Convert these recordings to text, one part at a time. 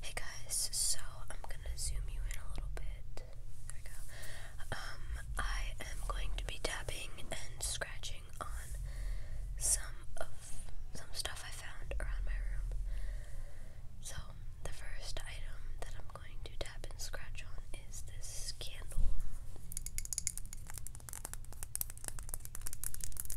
Hey guys, so I'm gonna zoom you in a little bit. There we go. Um, I am going to be tapping and scratching on some of some stuff I found around my room. So the first item that I'm going to tap and scratch on is this candle.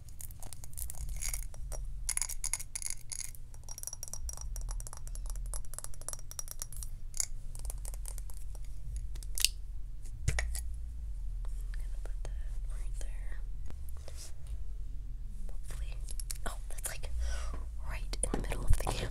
gonna put that right there. Hopefully. Oh, that's like right in the middle of the camera.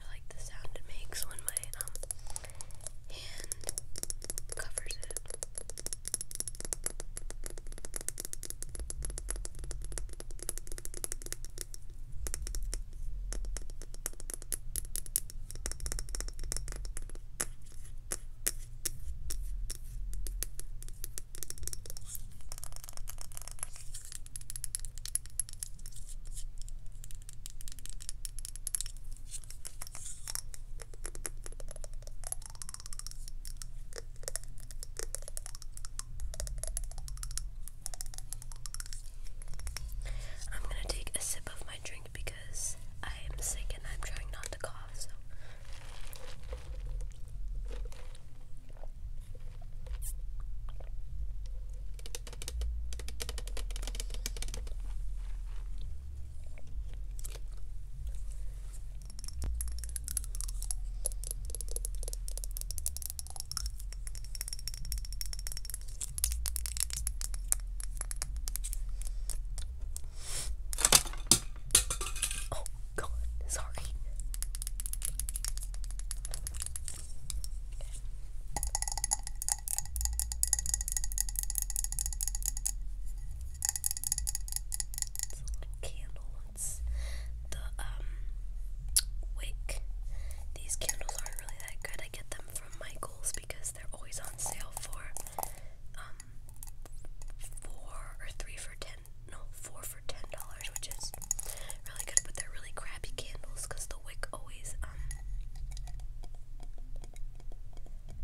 I like the sound it makes when my um hand covers it. I'm gonna take a sip of my drink because I am sick and I'm trying not to cough, so. Oh, God, sorry. It's a little candle. It's the um wick. These candles aren't really that good. I get them from Michaels because they're always on sale for um four or three for ten no four for ten dollars, which is Really good, but they're really crappy candles because the wick always um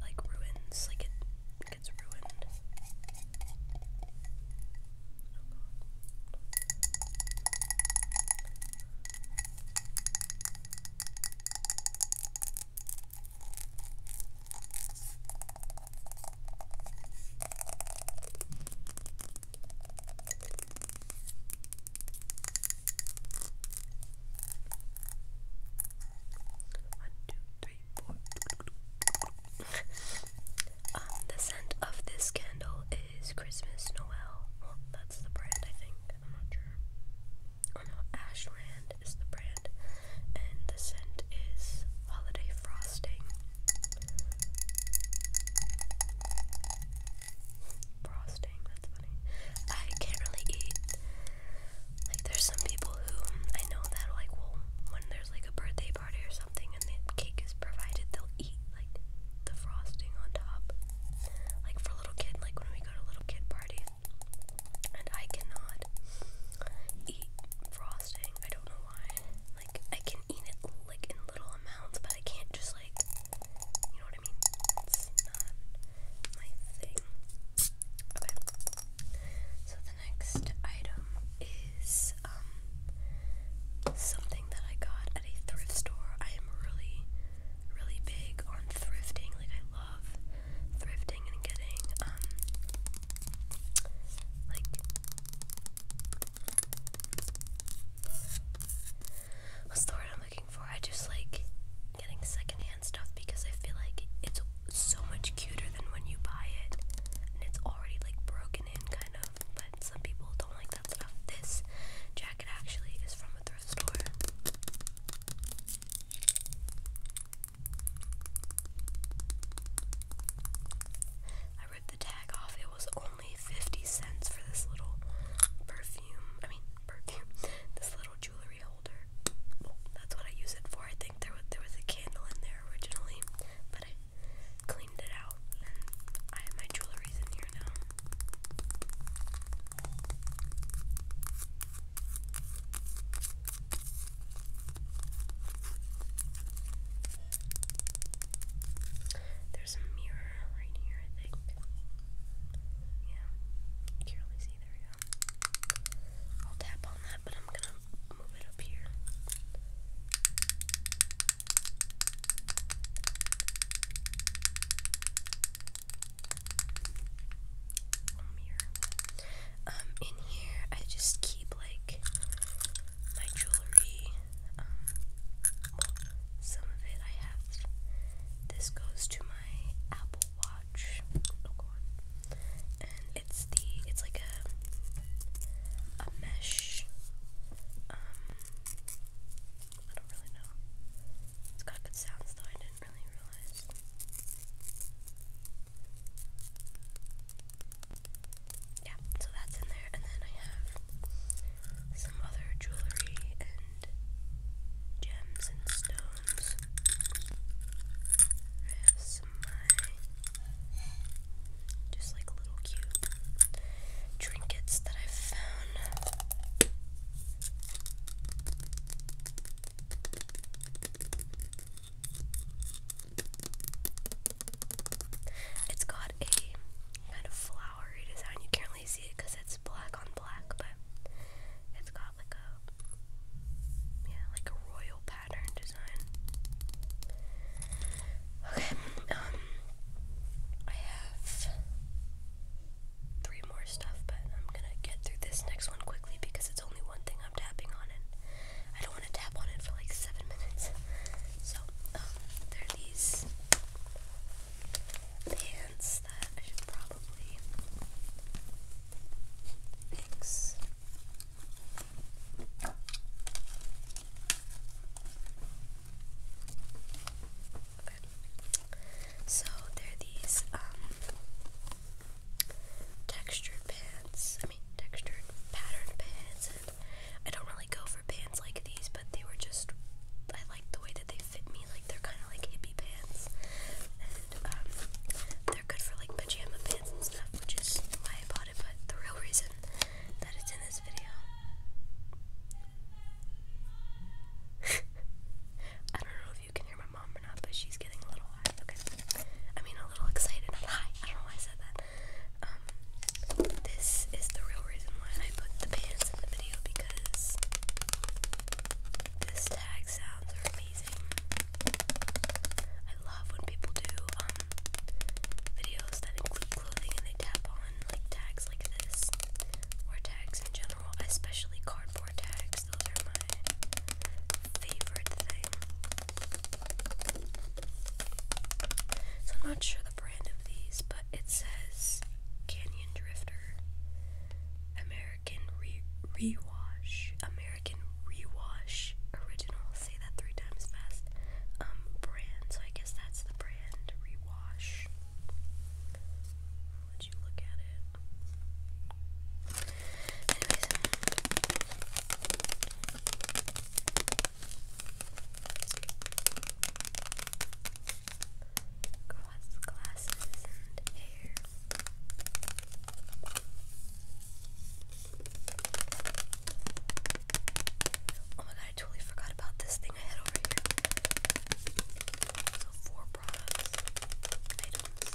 like ruins, like it gets ruined. One, two, three, four. Um, the scent of this candle is Christmas Noel. that's the brand, I think. I'm not sure. Oh no, Ashland is the brand, and the scent is Holiday Frosting frosting. That's funny. I can't really eat. Like, there's some people who I know that like will when there's like a birthday party or something and the cake is provided, they'll eat like the frosting on top. Like for a little kid, like when we go to little kid party, and I cannot eat frosting. I don't know why. Like I can eat it like in little amounts, but I can't just like you know what I mean? It's not my thing. Okay. So the next item is um something that I got at a thrift store. I am really really big on thrifting. Like I love thrifting and getting um like what's the word I'm looking for? I just like getting secondhand stuff because I feel like it's so much cuter than when you buy it and it's already like broken in kind of, but some people don't like that stuff. This jacket actually is from a thrift store the tag off, it was only 50 cents for this little perfume. I mean, perfume. This little jewelry holder. that's what I use it for. I think there was, there was a candle in there originally, but I cleaned it out and I have my jewelry's in here now. There's a mirror right here, I think. Yeah, can't really see. There we go. I'll tap on that, but I'm gonna move it up here. mirror. Um, in here, I just keep like my jewelry um, some of it I have. This goes to my Apple Watch. Oh, and it's the it's like a a mesh. Um, I don't really know. It's got good sounds though. I didn't really realize. Yeah, so that's in there. And then I have some other jewelry and gems and stones. I have some my just like little cute trinkets that i found. It's got a kind of flower flower redesign. You can't really see it it's black on black, but it's got like a yeah, like a royal pattern design. Okay, um, I have three more stuff, but I'm gonna get through this next one quickly because it's only one thing I'm tapping on, and I don't want to tap on it for like seven minutes. So, um, there are these pants that I should probably fix. So they're these um, textured pants. I mean textured patterned pants. I don't really go for pants like these, but they were just I like the way that they fit me. Like they're kind of like hippie pants, and um, they're good for like pajama pants and stuff, which is why I bought it. But the real reason that it's in this video, I don't know if you can hear my mom or not, but she's getting a little high. Okay, I mean a little excited. Hi, I don't know why I said that. Um, this is the real reason why I put the pants in the video because this tag sounds amazing. I love when people do um, videos that include clothing and they tap on like tags like this or tags in general, especially cardboard tags. Those are my favorite thing. So I'm not sure the brand of these, but it says Canyon Drifter, American Rewash, American Rewash Original. Say that three times fast. Um, brand. So I guess that's the brand Rewash. i you look at it. Anyways. Cross glasses and air. Oh my god, I totally forgot about this thing I had over here. So, four products, items.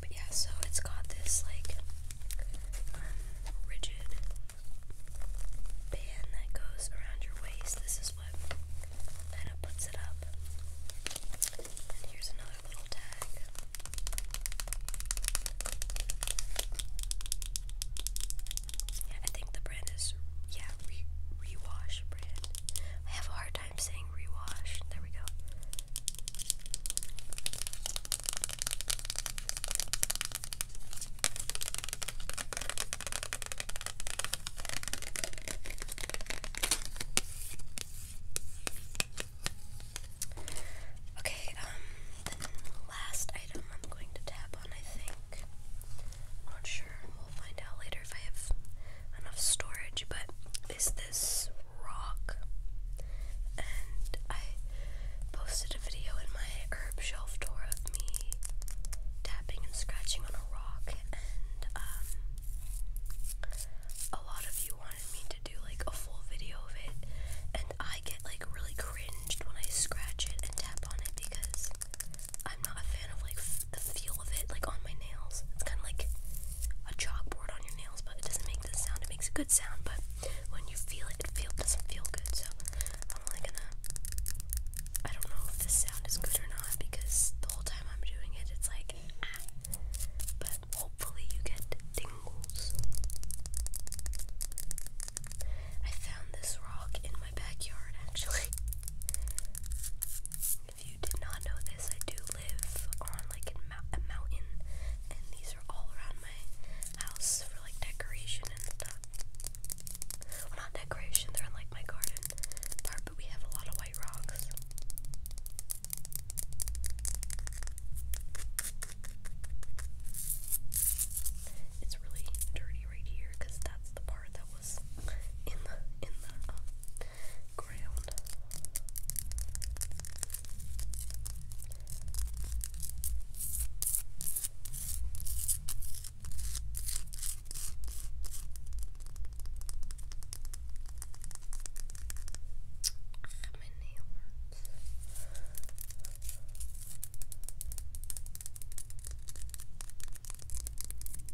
But yeah, so it's got this like rigid band that goes around your waist. This is what kind of puts it up. And here's another little tag. I think the brand is yeah, Rewash brand. I have hard time I'm saying rewash. There we go. Okay, um, last item I'm going to tap on, I think. not sure. We'll find out later if I have enough storage, but is this rock. And I posted a video in my herb shelf tour of me tapping and scratching on a rock, and um, a lot of you wanted me to do like a full video of it. And I get like really cringed when I scratch it and tap on it because I'm not a fan of like the feel of it, like on my nails. kind of like a chalkboard on your nails, but it doesn't make this sound. It makes a good sound, but when you feel it, it doesn't feel good. So I'm only gonna. I don't know if this sound is good or not because the whole time I'm doing it, it's like ah. But hopefully you get tingles. I found this rock in my backyard actually. If you did not know this, I do live on like a mountain, and these are all around my house for like decoration and stuff. Well, not decoration, they're in like my garden part, but we have a lot of white rocks. It's really dirty right here because that's the part that was in the in the um, ground. Ah, my nail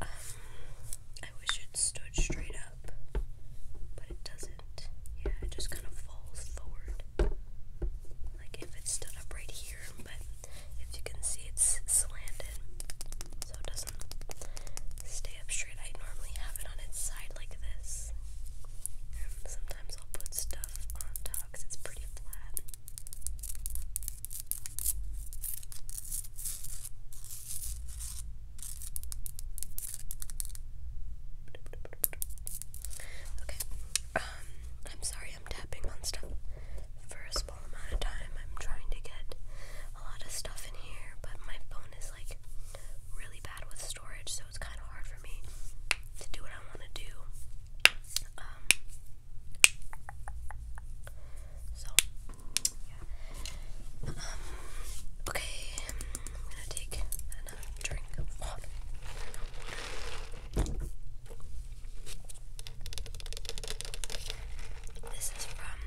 Um, I wish it stood straight up, but it doesn't. Yeah, it just kind of falls forward. Like if it stood up right here, but if you can see it's slanted, so it doesn't stay up straight. I normally have it on its side like this. And sometimes I'll put stuff on top because it's pretty flat. Okay. Um, I'm sorry I'm tapping on stuff for a small amount of time. I'm trying to get a lot of stuff in here, but my phone is like really bad with storage, so it's kind of hard for me to do what I want to do. Um, so, yeah. Um, okay, I'm gonna take another drink of water. This is from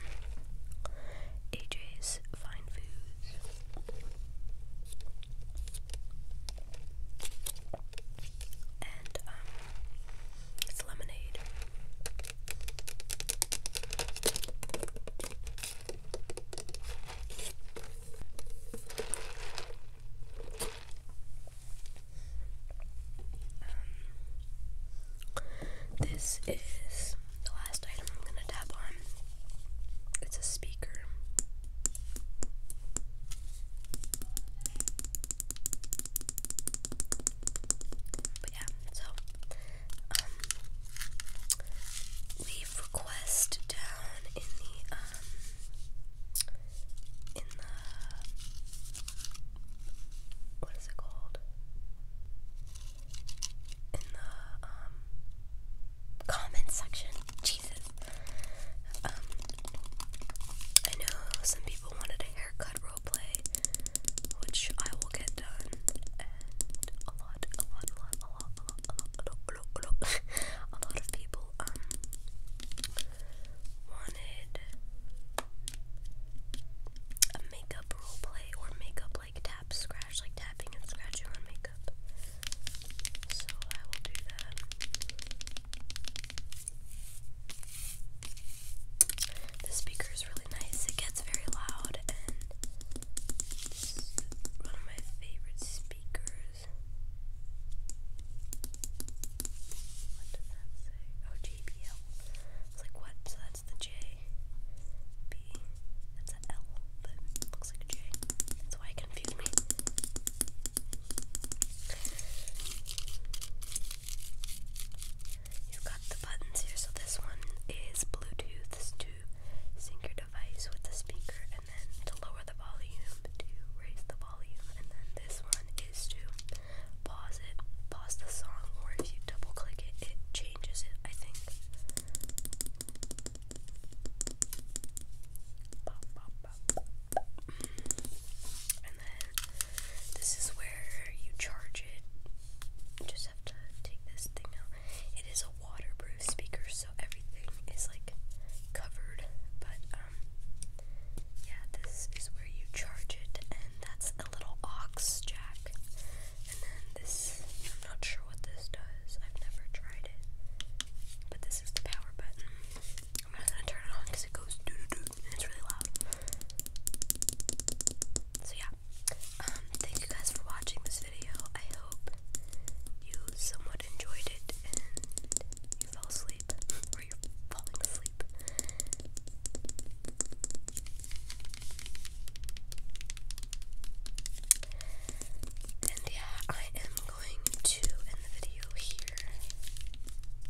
AJ's Fine Foods. And um it's lemonade. Um, this is the last item I'm going to tap on. It's a speaker. But yeah, so leave um, request down in the um in the what is it called? In the um comment section. Jesus. Um I know some people wanted a haircut roleplay, which I will get done, and a lot, a lot, a lot, a lot, a lot, a lot, a lot, a lot, a lot, of people um wanted a makeup roleplay or makeup like tap scratch, like tapping and scratching on makeup. So I will do that. The speaker is really nice. It gets very loud and one of my favorite speakers. What does that say? Oh, JBL. It's like what? So that's the J. B. That's an but looks like a J. That's why it confused me. You've got the buttons here, so this one is Bluetooth to sync your device with the speaker, and then to lower the volume, to raise the volume, and then this one is to pause it, pause the song, or if you double click it, it changes it, I think this is where you charge it. just have to take this thing out. It is a waterproof speaker, so everything is like covered. But um, yeah, this is where you charge it, and that's a little aux jack. And then this, I'm not sure what this does. I've never tried it. But this is the power button. I'm not gonna turn it on because it goes doo doo doo it's really loud. So yeah, um, thank you guys for watching this video. I hope you somewhat enjoyed it and you fell asleep or you're falling asleep. And yeah, I am going to end the video here.